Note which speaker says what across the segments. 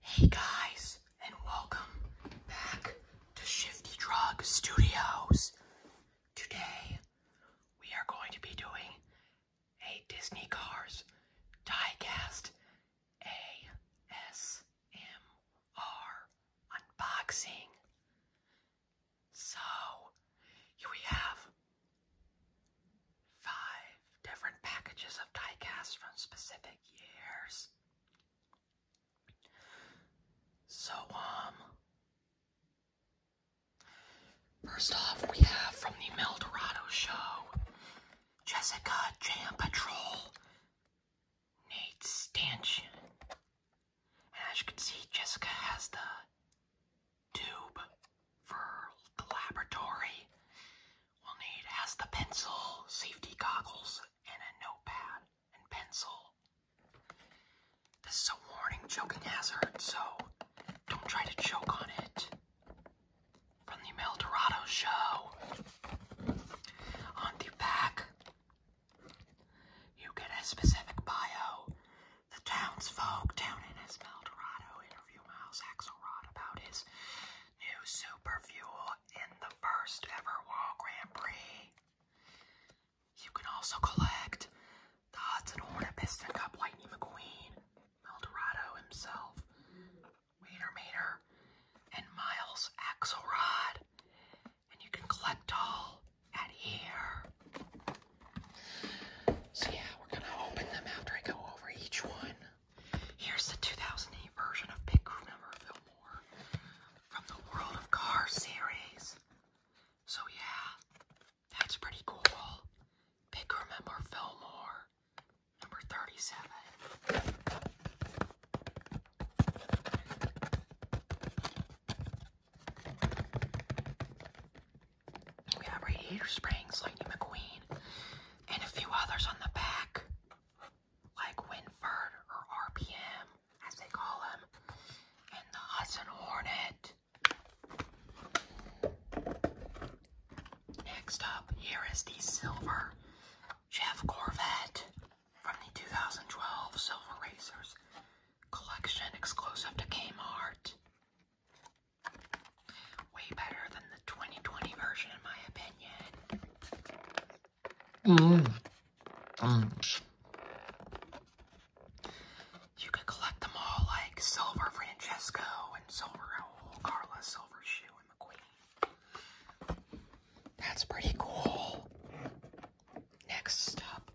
Speaker 1: Hey guys, and welcome back to Shifty Drug Studios. Today, we are going to be doing a Disney Cars diecast ASMR unboxing. So, here we have Five different packages of die from specific years. So, um, first off, we have from the Mel Dorado show Jessica Jam Patrol, Nate Stanchion. And as you can see, Jessica has the tube for the laboratory. We'll need has the pencil, safety goggles, and a notepad and pencil. This is a warning choking hazard, so don't try to choke on it. From the Mel show. On the back, you get a specific bio the town's folk, down in his Meldorado interview Miles Axelrod about his new super fuel in the first ever World Grand Prix. You can also collect the Hudson Hornet Piston Cup Lightning McQueen, Meldorado himself, Wiener Mater, and Miles Axelrod. And you can collect all at here. So yeah, we're gonna open them after I go over each one. Here's the 2008 version of Big Crew Fillmore from the World of Car series. So yeah, that's pretty cool. Big Fillmore, number 37. We have Radiator Springs, Lightning McQueen, and a few others on the back, like Winford or RPM, as they call him, and the Hudson Hornet. Next up, here is the silver Jeff Corvette from the 2012 Silver Racers collection exclusive to Kmart. Way better than the 2020 version, in my opinion. Mm. You could collect them all like Silver Francesco and Silver oh, Carla, Silver Shoe, and McQueen. That's pretty cool. Next up,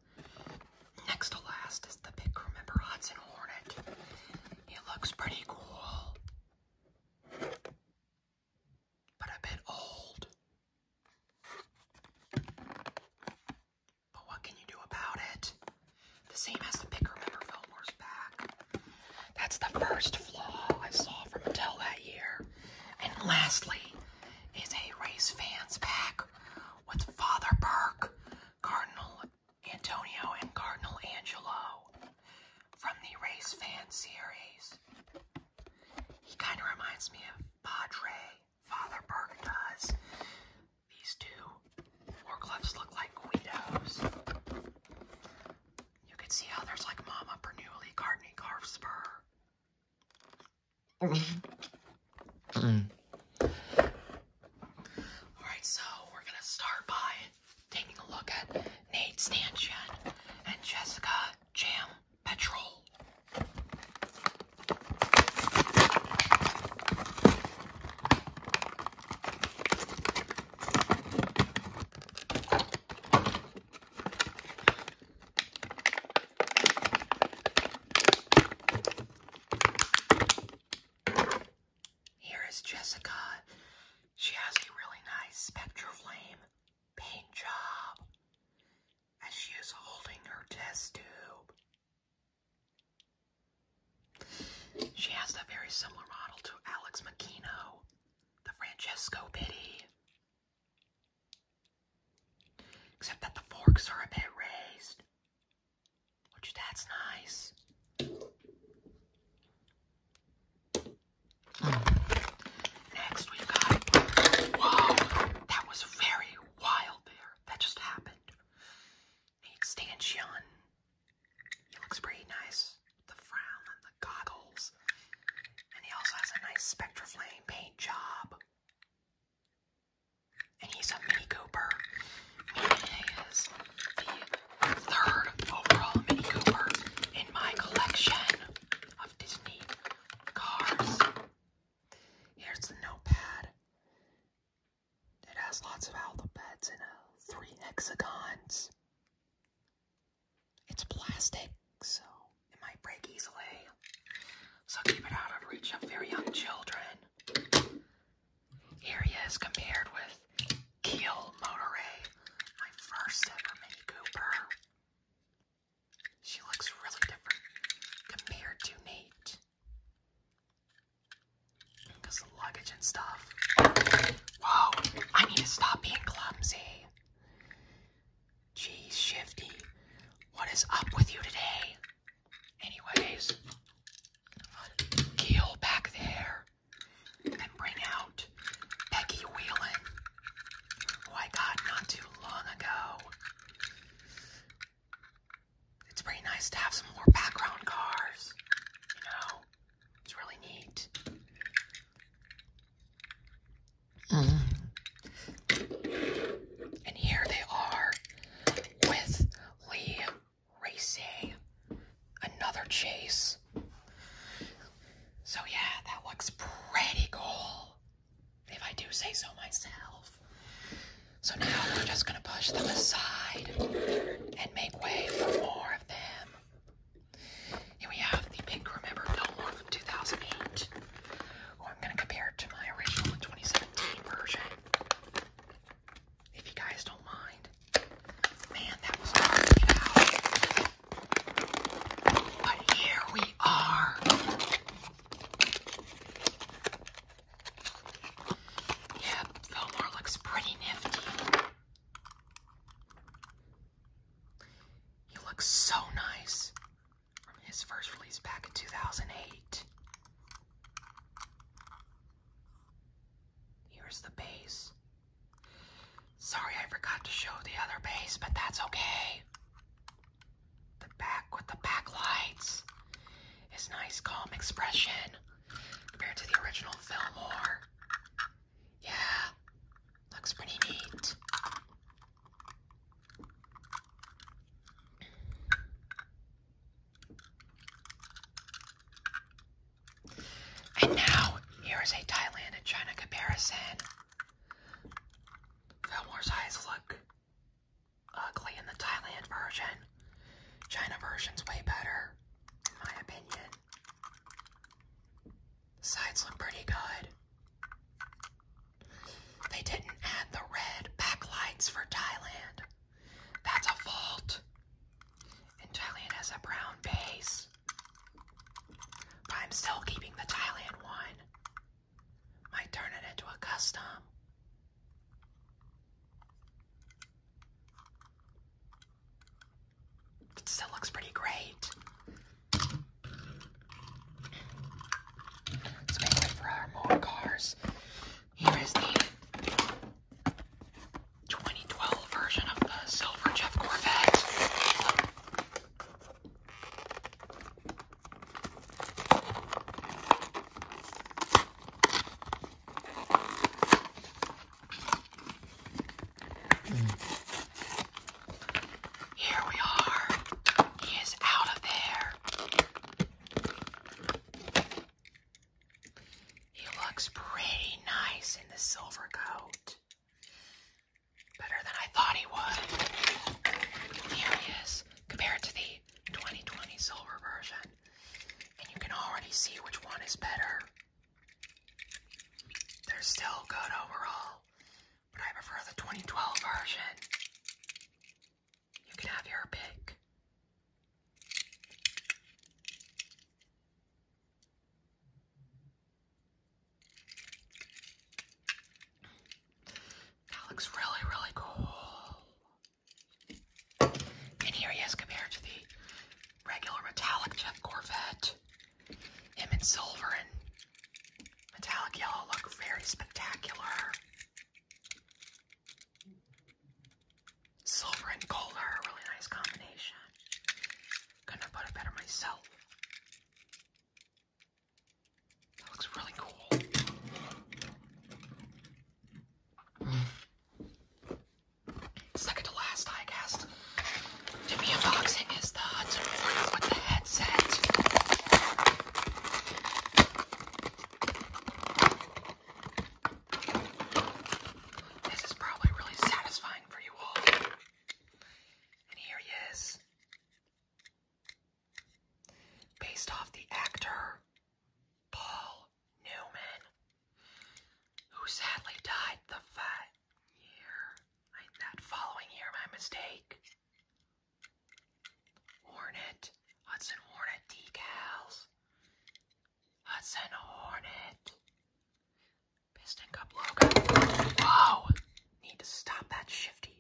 Speaker 1: Next to last is the pick crew Hudson Hornet. It looks pretty cool, but a bit old. But what can you do about it? The same as the pick crew Fillmore's back. That's the first flaw I saw from Mattel that year. And lastly, is a race fans pack with Father Burke, Cardinal Antonio and Cardinal Angelo from the Race Fan series. He kind of reminds me of Padre, Father Burke does. These two war look like Guidos. You can see how there's like Mama Bernoulli, Courtney Carvspur. Mm. All right, so we're gonna start by taking a look at Nate Stanchen and Jessica Jam Petrol. Here is Jessica. She has a really nice flame paint job as she is holding her test tube. She has a very similar model to Alex Makino, the Francesco Pitti. Except that the forks are a bit raised. Would you? That's nice. Next, we've got. Whoa! That was very wild there. That just happened. Nate Stanchion. He looks pretty nice. The frown and the goggles. And he also has a nice spectraflame paint job. And He's a Mini Cooper. He is the third overall Mini Cooper in my collection of Disney cars. Here's the notepad. It has lots of alphabets and uh, three hexagons. It's plastic, so it might break easily. So keep it out of reach of very young children. Here he is compared with Keel Motorway, my first ever Mini Cooper. She looks really different compared to Nate. Because the luggage and stuff. Whoa, I need to stop being clumsy. Geez, Shifty, what is up with you today? Anyways, Keel back there and bring out Becky Whelan, who I got not too long ago. It's pretty nice to have some more background cars, you It's really neat. Mm-hmm. And here they are with Lee Racy. Another chase. So yeah, that looks pretty cool. If I do say so myself. So now we're just gonna push them aside and make way for more of them. Here we have the pink Remember No More from 2008. Who I'm gonna compare to my original 2017 version. If you guys don't mind. Man, that was hard to get out. But here we are. Yeah, Fillmore looks pretty nifty. You look so nice. From His first release back in 2008. Here's the bass. Sorry, I forgot to show the other bass, but that's okay. The back with the backlights is nice, calm expression compared to the original Fillmore. Yeah, looks pretty neat. And now, here is a Thailand and China comparison. Fillmore's eyes look ugly in the Thailand version. China version's way better, in my opinion. The sides look pretty good. They didn't add the red backlights for Thailand. That's a fault. Italian has a brown base. I'm still keeping the Thailand one. Might turn it into a custom. It still looks pretty great. Let's for our more cars. Here is the 2012 version of the silver Jeff Corvette. Here we are. He is out of there. He looks pretty nice in the silver coat. Better than I thought he would. Here he is, compared to the 2020 silver version. And you can already see which one is better. They're still good overall, but I prefer the 2012 version. You can have your pick. That looks really, really cool. And here he is compared to the regular metallic Jeff Corvette. Him in silver and metallic yellow look very spectacular. Silver and gold are a really nice combination. Couldn't have put it better myself. That looks really cool. Second to last I guess to unboxing is the Hudson with the headset. This is probably really satisfying for you all. And here he is. Based off the actor Paul Newman, who sadly died the fat year, that following year, my mistake. Hornet, Hudson Hornet decals, Hudson Hornet, Piston Cup logo. Whoa! Need to stop that shifty.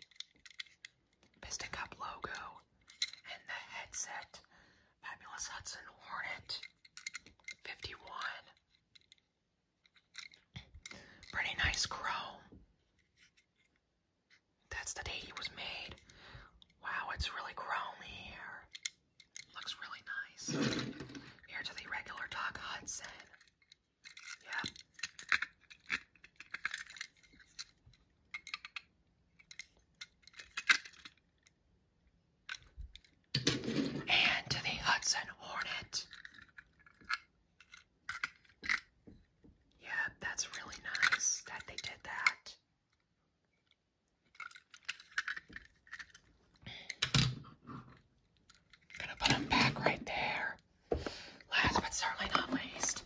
Speaker 1: Piston Cup logo and the headset. Fabulous Hudson Hornet 51. Pretty nice chrome. That's the date he was made. Wow, it's really grown here. Looks really nice. Here the regular Doc Hudson. Yep. And the Hudson Hornet. Yeah, that's really nice that they did that. Gonna put them back right there. Last but certainly not least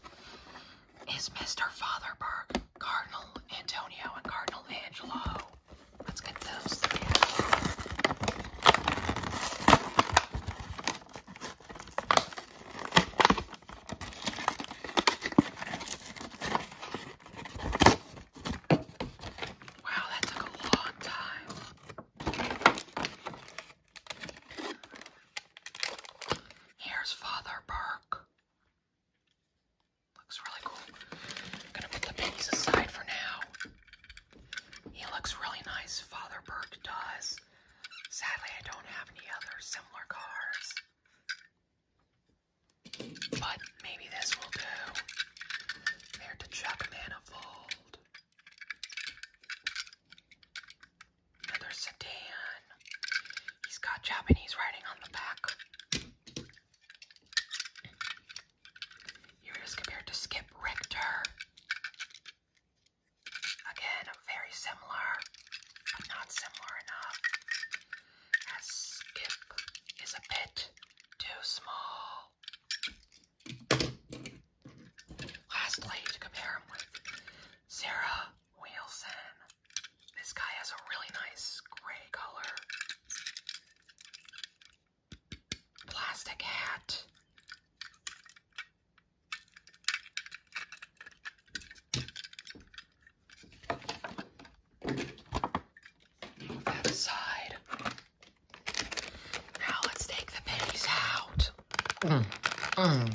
Speaker 1: is Mr. Fatherberg, Cardinal Antonio, and Cardinal Angelo. Let's get those Wow, that took a long time. Here's Father Burke. Looks really cool. gonna put the babies aside for now. He looks really nice, Father Burke does. Sadly, I don't have any other similar cars. But maybe this will do. There to Chuck Manifold. Another sedan. He's got Japanese writing on the back. Here compared to Skip Richter. Again, very similar, but not similar enough. As Skip is a bit too small. Lastly, to compare him with Sarah Wilson, this guy has a really nice gray color. Plastic hat. Move that aside. Now let's take the pennies out. Mm, mm. Come on.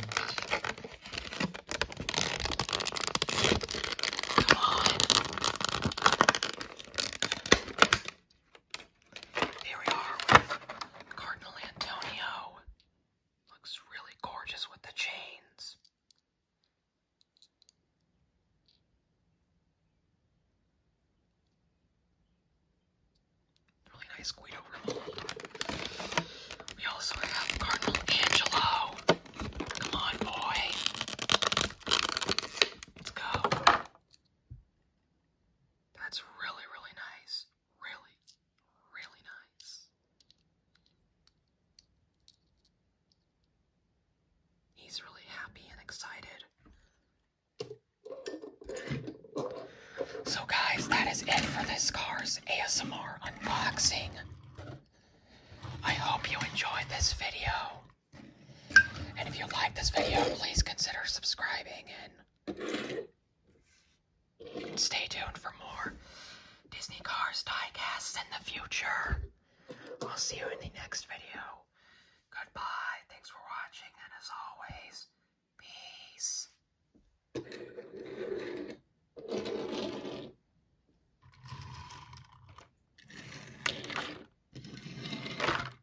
Speaker 1: Here we are with Cardinal Antonio. Looks really gorgeous with the chains. Really nice Guido We also have Cardinal Angelo. Come on, boy. Let's go. That's really, really nice really, really nice. He's really happy and excited. So, guys, that is it for this car's ASMR unboxing. I hope you enjoyed this video. And if you like this video, please consider subscribing Stay tuned for more Disney Cars diecasts in the future. I'll see you in the next video. Goodbye. Thanks for watching, and as always, peace.